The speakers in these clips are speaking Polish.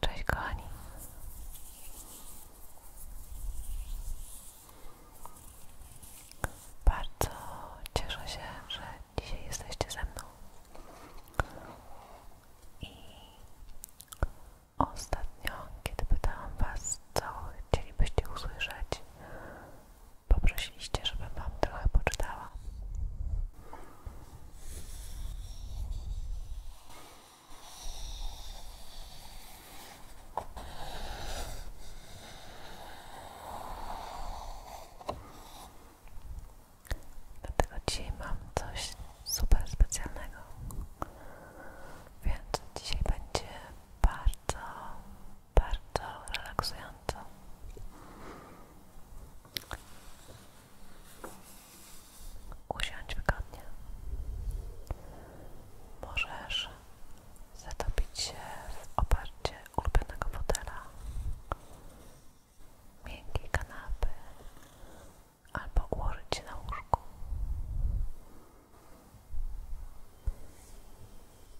Cześć kochani. Bardzo cieszę się, że dzisiaj jesteście ze mną. I ostatnio, kiedy pytałam Was, co chcielibyście usłyszeć, poprosiliście, żebym Wam trochę poczytała. Dlatego dzisiaj mam coś super specjalnego. Więc dzisiaj będzie bardzo, bardzo relaksująco. Usiądź wygodnie. Możesz zatopić się w oparciu ulubionego fotela, miękkiej kanapy albo ułożyć się na łóżku.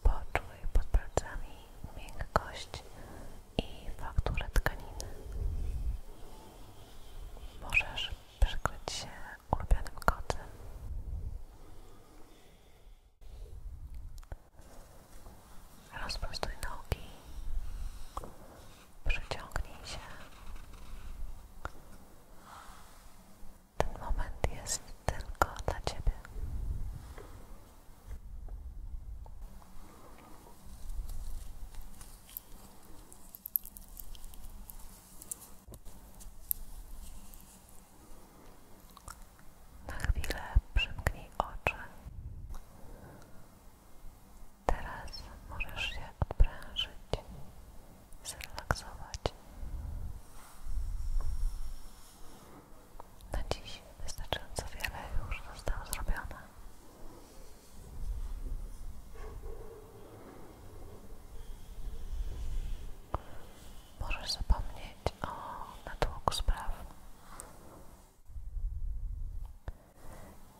Poczuj pod palcami miękkość i fakturę tkaniny. Możesz przykryć się ulubionym kotem. Rozprostuj nogi, przyciągnij się. Ten moment jest tylko dla Ciebie. Na chwilę przymknij oczy. Teraz możesz się odprężyć, zrelaksować. Na dziś wystarczająco wiele już zostało zrobione. Możesz zapomnieć o natłoku spraw.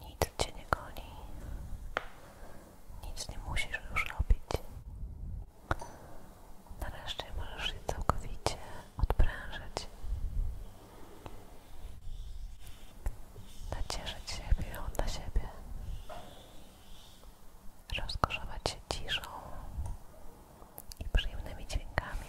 Nic cię nie goni. Nic nie musisz już robić. Nareszcie możesz się całkowicie odprężyć nacieszyć się chwilą dla siebie, rozkoszować się ciszą i przyjemnymi dźwiękami.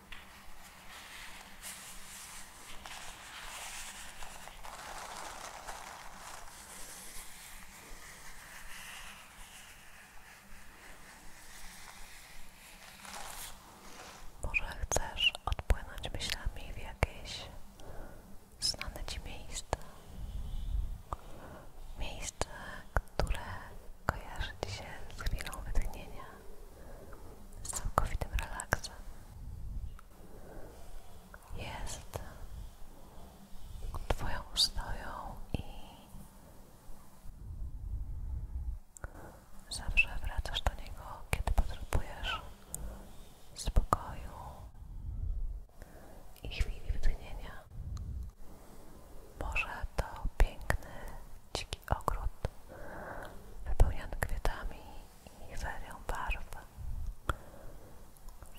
Może chcesz odpłynąć myślami w jakieś znane Ci miejsce, Miejsce, które kojarzy dzisiaj z chwilą wytchnienia, z całkowitym relaksem. Jest Twoją ustoją i zawsze wracasz do niego, kiedy potrzebujesz spokoju i chwili wytchnienia. Może to piękny, dziki ogród wypełniony kwiatami i ferią barw.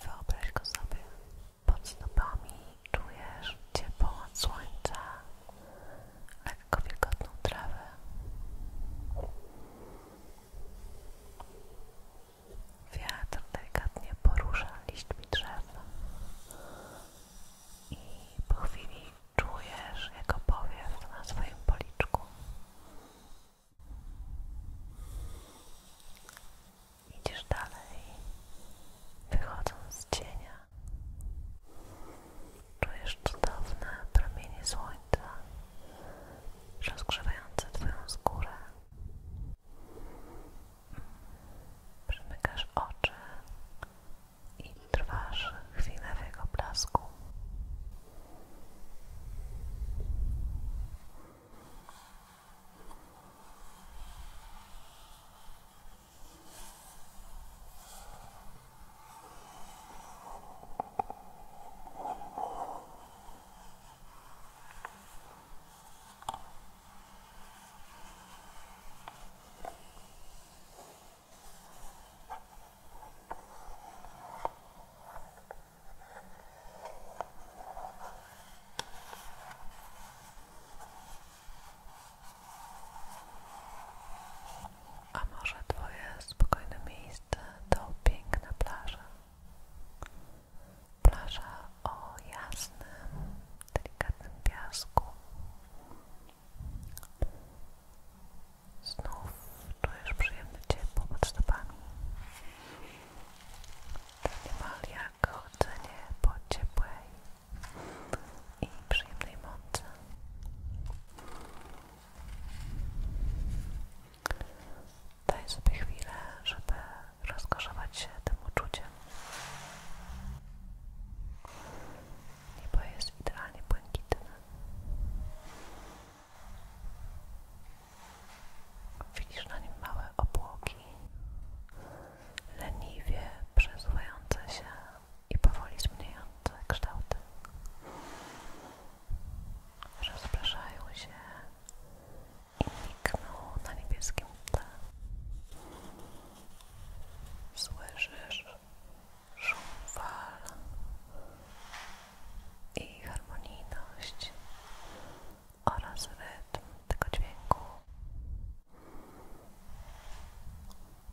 Wyobraź go sobie. Pod stopami czujesz ciepło od słońca, lekko wilgotną trawę. Wiatr delikatnie porusza liśćmi drzew i po chwili czujesz jego powiew na swoim policzku. Idziesz dalej, wychodząc z cienia. Czujesz cudowne promienie słońca rozgrzewające Twoją skórę. Przymykasz oczy i trwasz chwilę w blasku. A może Twoje spokojne miejsce to piękna plaża? Plaża o jasnym, delikatnym piasku. Znów czujesz przyjemne ciepło pod stopami. Niemal jak chodzenie po ciepłej i przyjemnej mocy. Daj sobie chwilę, żeby rozkoszować się tym uczuciem. Niebo jest idealnie błękitne. Widzisz na nim małe obłoki, leniwie przesuwające się i powoli zmieniające kształty. Rozpraszają się i nikną na niebieskim tle. Słyszysz szum fal i harmonijność oraz rytm tego dźwięku.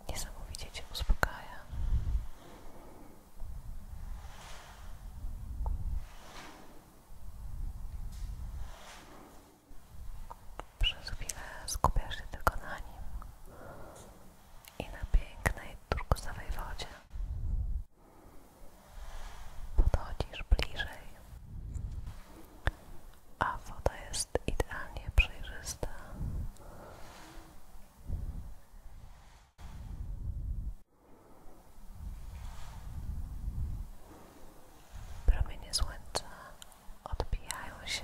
Niesamowicie Cię uspokaja. Przez chwilę skupiasz się tylko na nim i na pięknej turkusowej wodzie. Podchodzisz bliżej, a woda jest idealnie przejrzysta. Promienie słońca odbijają się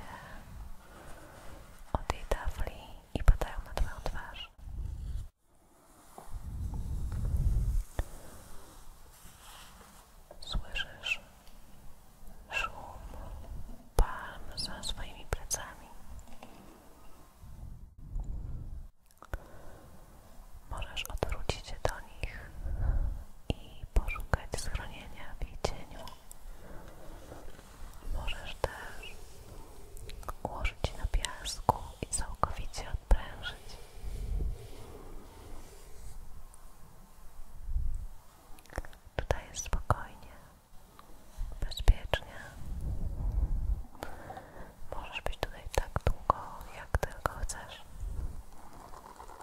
od jej tafli i padają na Twoją twarz. Słyszysz szum palm za swoimi plecami możesz odwrócić się do nich i poszukać schronienia w ich cieniu. Możesz też ułożyć na piasku i całkowicie odprężyć. Tutaj jest spokojnie, bezpiecznie. Możesz być tutaj tak długo, jak tylko chcesz.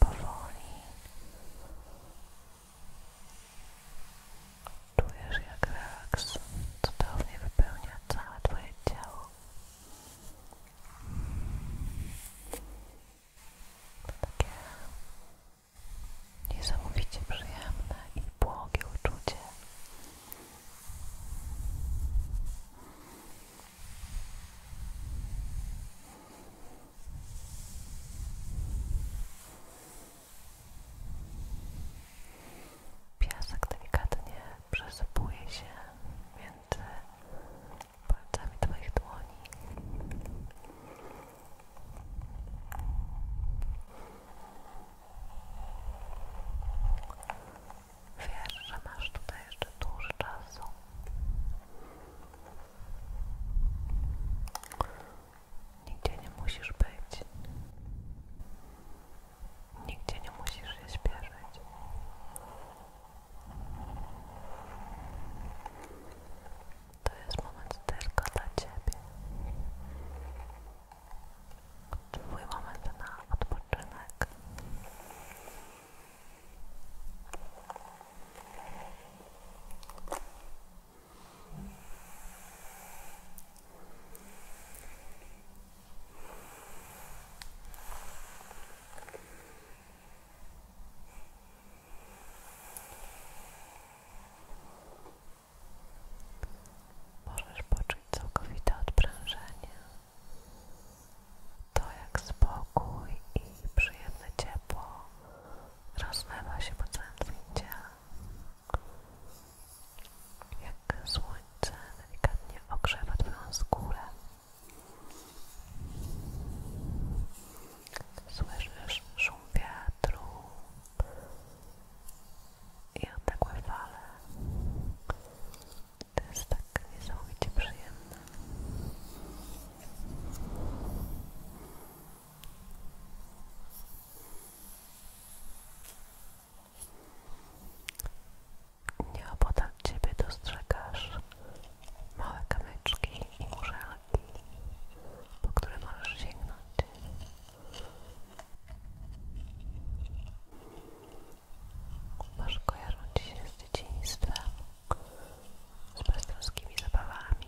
powoli czujesz jak relaks cudownie wypełnia całe Twoje ciało to takie niesamowicie przyjemne i błogie uczucie Piasek delikatnie przesypuje się między palcami Twoich dłoni. Wiesz, że masz tutaj jeszcze dużo czasu. Nigdzie nie musisz być. Nigdzie nie musisz się śpieszyć. To jest moment tylko dla Ciebie. Twój moment na odpoczynek. Możesz poczuć całkowite odprężenie to jak spokój i przyjemne ciepło rozlewa się po całym zdjęciu. Jak słońce delikatnie ogrzewa Twoją skórę. Słyszysz szum wiatru i odległe fale. To jest tak niesamowicie przyjemne. Nieopodal Ciebie dostrzegasz małe kamyczki i muszelki, po które możesz sięgnąć. Masz kojarzą Ci się z dzieciństwem, z beztroskimi zabawami.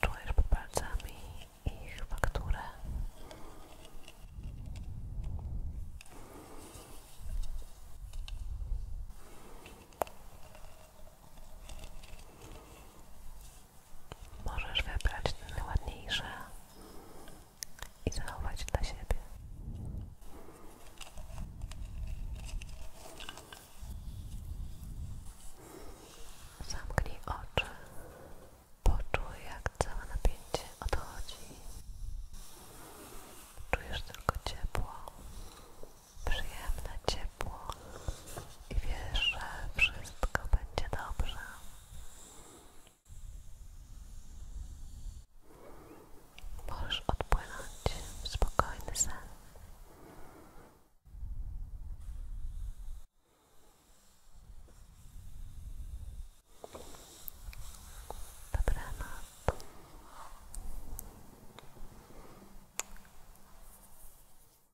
Czujesz pod palcami ich fakturę. Możesz wybrać te najładniejsze i zachować dla siebie. Zamknij oczy, poczuj jak całe napięcie odchodzi. Czujesz tylko ciepło, przyjemne ciepło ciepło wiesz, że wszystko będzie dobrze. Możesz odpłynąć w spokojny sen.